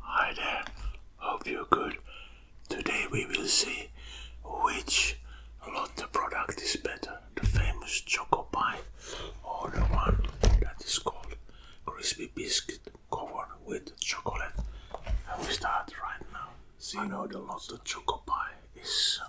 Hi there, hope you're good. Today we will see which Lotte product is better, the famous chocolate pie or the one that is called crispy biscuit covered with chocolate. And we start right now. See, you know the Lotte chocolate pie is uh,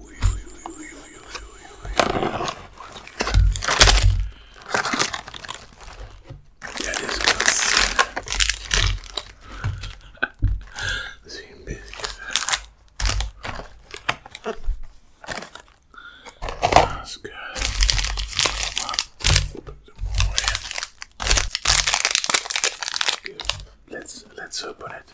That is good. Same biscuits. That's good. Put them away. Good. Let's let's open it.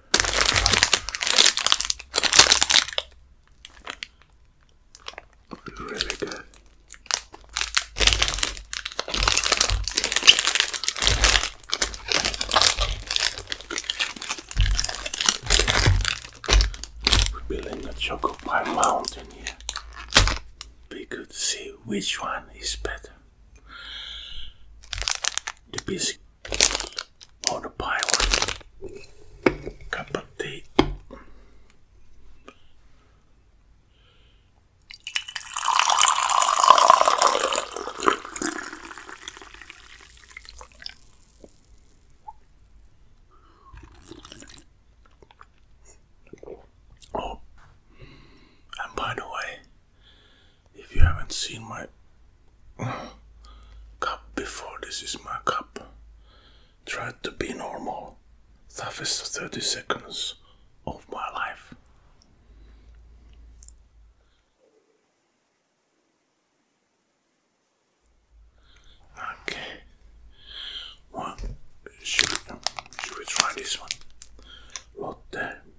Really good. We're building a chocolate pie mountain here. We could see which one is better the basic or the of Oh, and by the way, if you haven't seen my cup before, this is my cup. Try to be normal. Toughest 30 seconds of my life. Okay. Well, should, we try this one? Lotte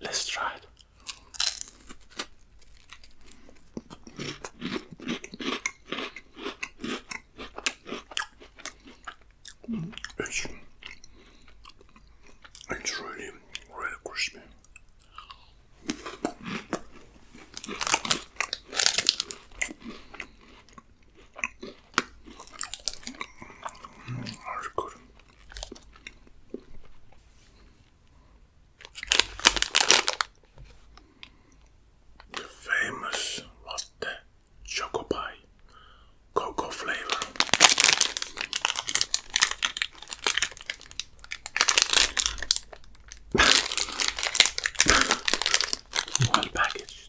Let's try it. It's, really, really crispy. Mm, good. The famous latte choco pie, cocoa flavor. well packaged.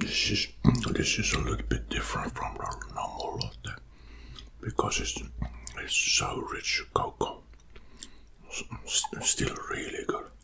This is this is a little bit different from the normal latte because it's it's so rich cocoa, still really good.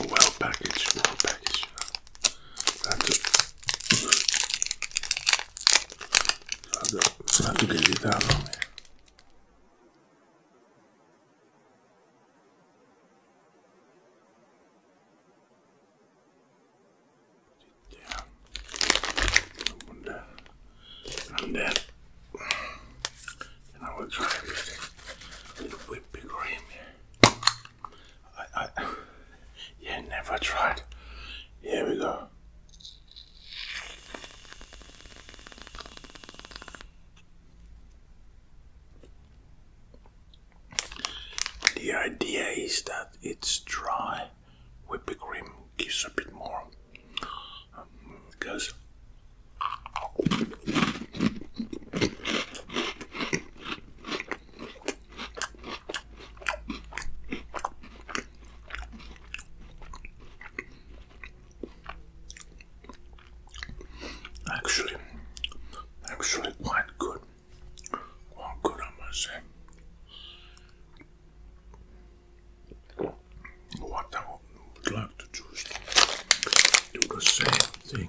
Well packaged, well packaged. That's it. Sad to get it out on here. And then, and I will try a little bit bigger here. I, yeah, never tried. Here we go. The idea is that it's dry whipped cream gives a bit more because Actually, actually quite good. Quite good, I must say. What I would like to do is do the same thing.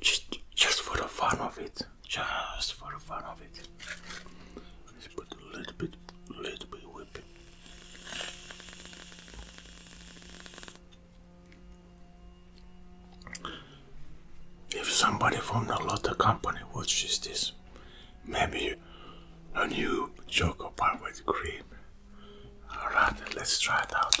Just, for the fun of it. Just for the fun of it. Let's put a little bit, little bit whipping. If somebody from the Lotta company watches this, maybe a new chocolate bar with cream. Alright, let's try it out.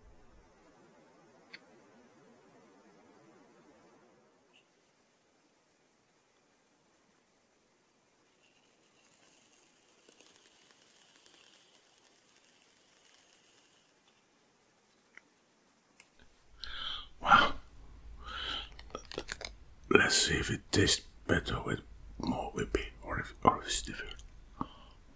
Wow. Let's see if it tastes better with more whippy or if, or if it's different.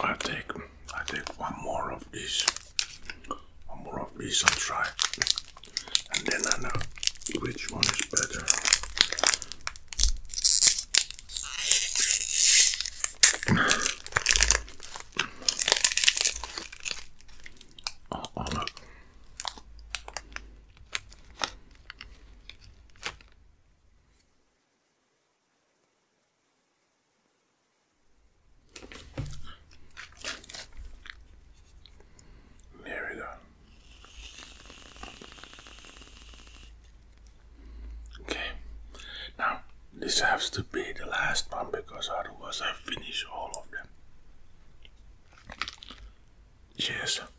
I take I take one more of this, one more of these and try, and then I know which one is better. Oh, oh there we go. Okay, now this has to be the last one because otherwise I finish all of them. Cheers.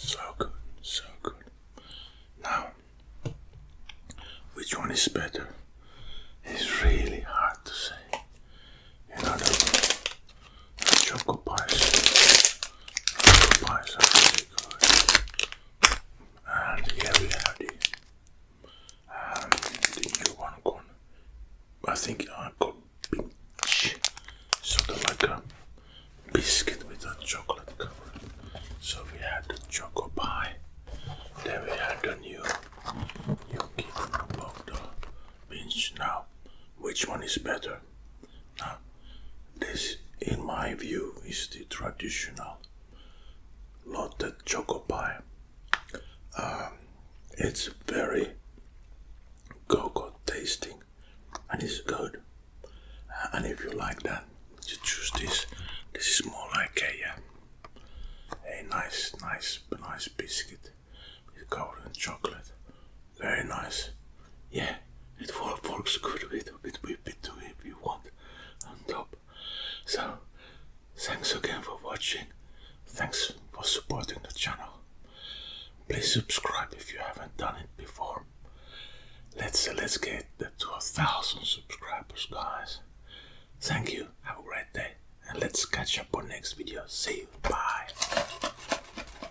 So good, so good. Now, which one is better? It's really hard to say. You know, the, Chocolate pie, Choco pies are good. And here we have the, um, new one called, I think I uh, called peach. Sort of like a biscuit with a chocolate cover. So we had the chocolate pie. Then we had the new, new kingdom of the beans. Now, which one is better? this, in my view, is the traditional Lotte choco pie. Um, it's very cocoa tasting and it's good. Uh, and if you like that, you choose this. This is more like a, uh, a nice, nice, nice biscuit with golden chocolate very nice. Yeah, it works good with a bit whip it if you want on top. So, thanks again for watching. Thanks for supporting the channel. Please subscribe if you haven't done it before. Let's let's get to a thousand subscribers, guys. Thank you. Have a great day, and let's catch up on next video. See you. Bye.